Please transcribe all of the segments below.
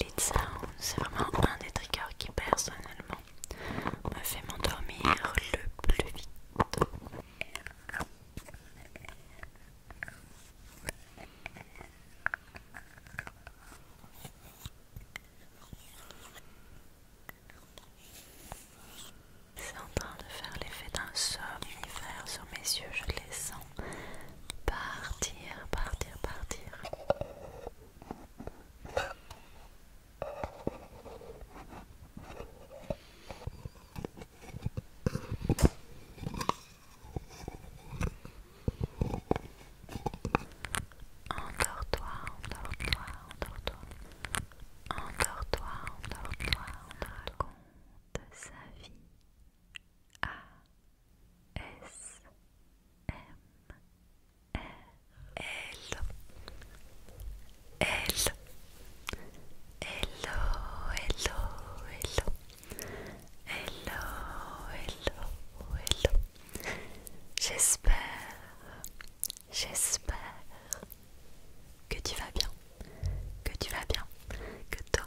Les Sound, c'est vraiment un des triggers qui personnellement me fait m'endormir le plus vite. C'est en train de faire l'effet d'un somnifère sur mes yeux, je les sens partir, partir, partir. Encore toi endors-toi, endors-toi. toi encore toi on raconte sa vie Hello Hello Hello Hello Hello Hello Hello Hello J'espère J'espère que tu vas bien que tu vas bien que toi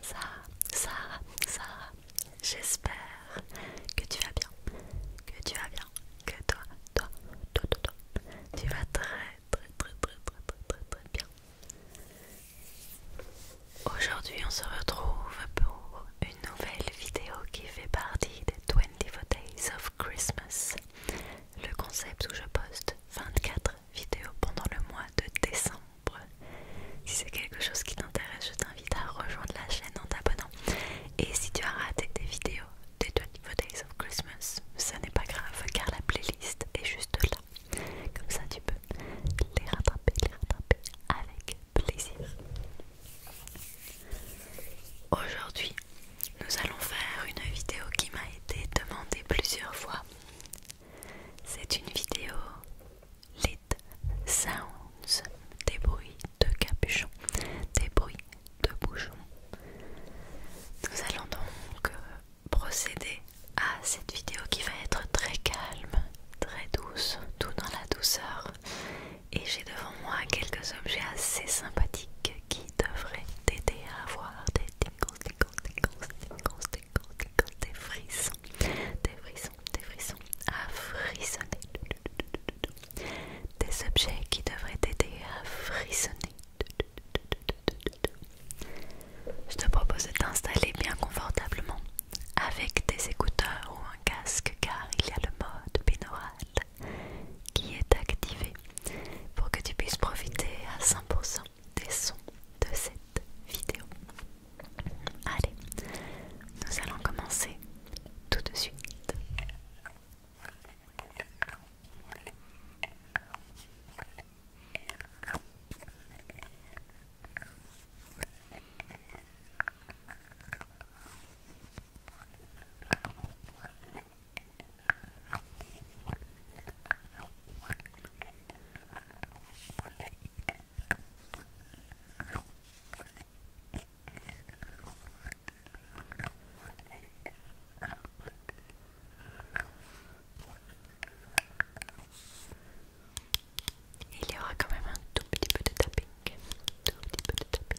Sarah, Sarah, Sarah, j'espère que tu vas bien, que tu vas bien, que toi, toi, toi, toi, toi, tu vas très, très, très, très, très, très, très, bien. Aujourd'hui, on se retrouve pour une nouvelle vidéo qui fait partie des 24 Days of Christmas, le concept où je poste 24 vidéo pendant le mois de décembre. Si c'est quelque chose qui t'intéresse, je t'invite à rejoindre la chaîne en t'abonnant. Et si tu as raté des vidéos des 24 Days of Christmas, ça n'est pas grave car la playlist est juste là. Comme ça, tu peux les rattraper, les rattraper avec plaisir. Aujourd'hui, nous allons faire une vidéo qui m'a été demandée plusieurs fois c'est une vidéo lit sounds, des bruits de capuchon, des bruits de bouchon. Nous allons donc euh, procéder à cette vidéo qui va être très calme, très douce, tout dans la douceur. Et j'ai devant moi quelques objets assez sympathiques qui devraient t'aider à avoir des tingles, tingles, tingles, tingles, des frissons, des frissons, des frissons à frissonner. Des objets qui devraient t'aider à frissonner. Je te propose de t'installer bien confortablement avec des écouteurs ou un casque car il y a le mode binaural qui est activé pour que tu puisses profiter à 100% des sons de cette vidéo. Allez, nous allons commencer tout de suite. Il y aura quand même un tout petit peu de tapping, tout petit de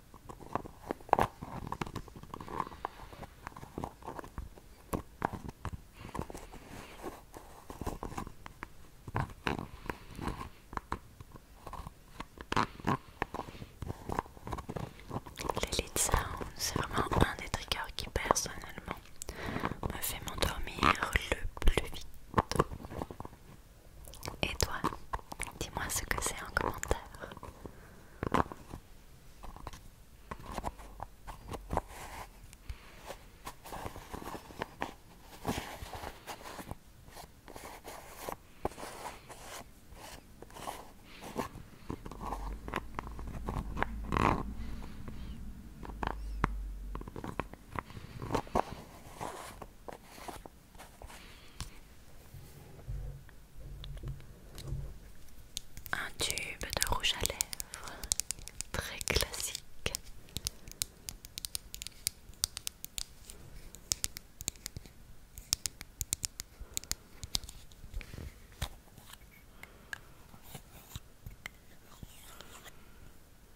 Les ça c'est vraiment un des triggers qui personnellement me fait m'endormir le plus vite. Et toi, dis-moi ce que c'est en commentaire. Un tube de rouge à lèvres, très classique.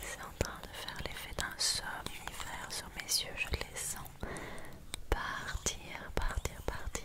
C'est en train de faire l'effet d'un somnifère sur mes yeux, je les sens partir, partir, partir.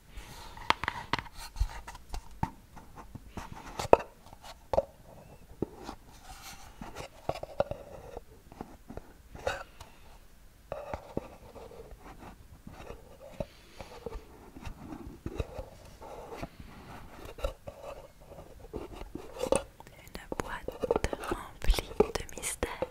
Une boîte remplie de mystères.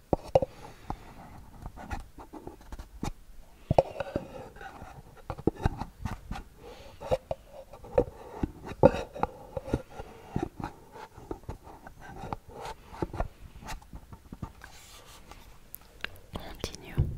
Continue.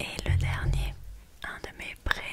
Et le dernier, un de mes préférés.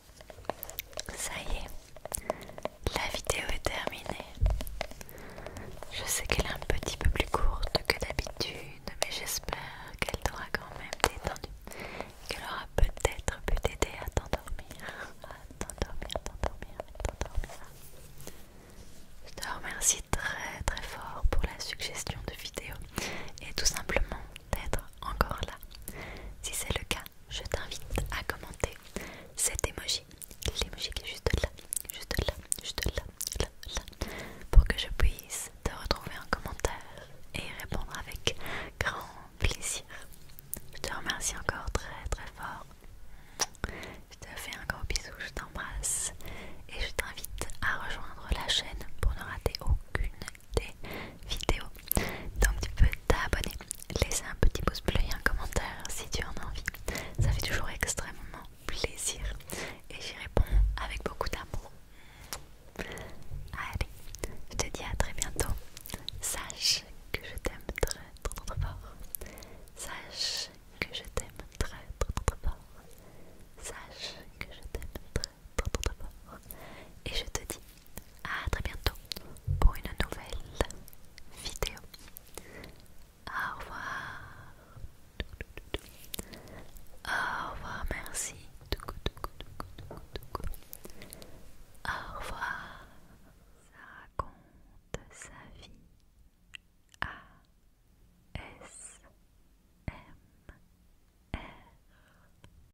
Ça y est, la vidéo est terminée. Je sais qu'elle est un petit peu plus courte que d'habitude, mais j'espère qu'elle t'aura quand même détendu, qu'elle aura peut-être pu t'aider à t'endormir, à t'endormir, t'endormir, t'endormir. Je te remercie très très fort pour la suggestion de vidéo et tout simplement d'être encore là. Si c'est le cas, je t'invite à commenter cet emoji, l'emoji qui est juste là, juste là, juste là, là, là, pour que je puisse te retrouver en commentaire et répondre avec grand plaisir. Je te remercie encore très très fort. Je te fais un gros bisou, je t'embrasse et je t'invite à rejoindre la chaîne pour ne rater aucune des vidéos. Donc tu peux t'abonner, laisser un petit pouce bleu et un commentaire si tu en as envie. Ça fait toujours extrêmement plaisir et j'y réponds avec beaucoup d'amour. Allez, je te dis à très bientôt. Sache que je t'aime très très très fort. Sache que je t'aime très très très fort. Sache que je t'aime très et je te dis à très bientôt pour une nouvelle vidéo. Au revoir. Au revoir, merci. Au revoir. Ça raconte sa vie. A S M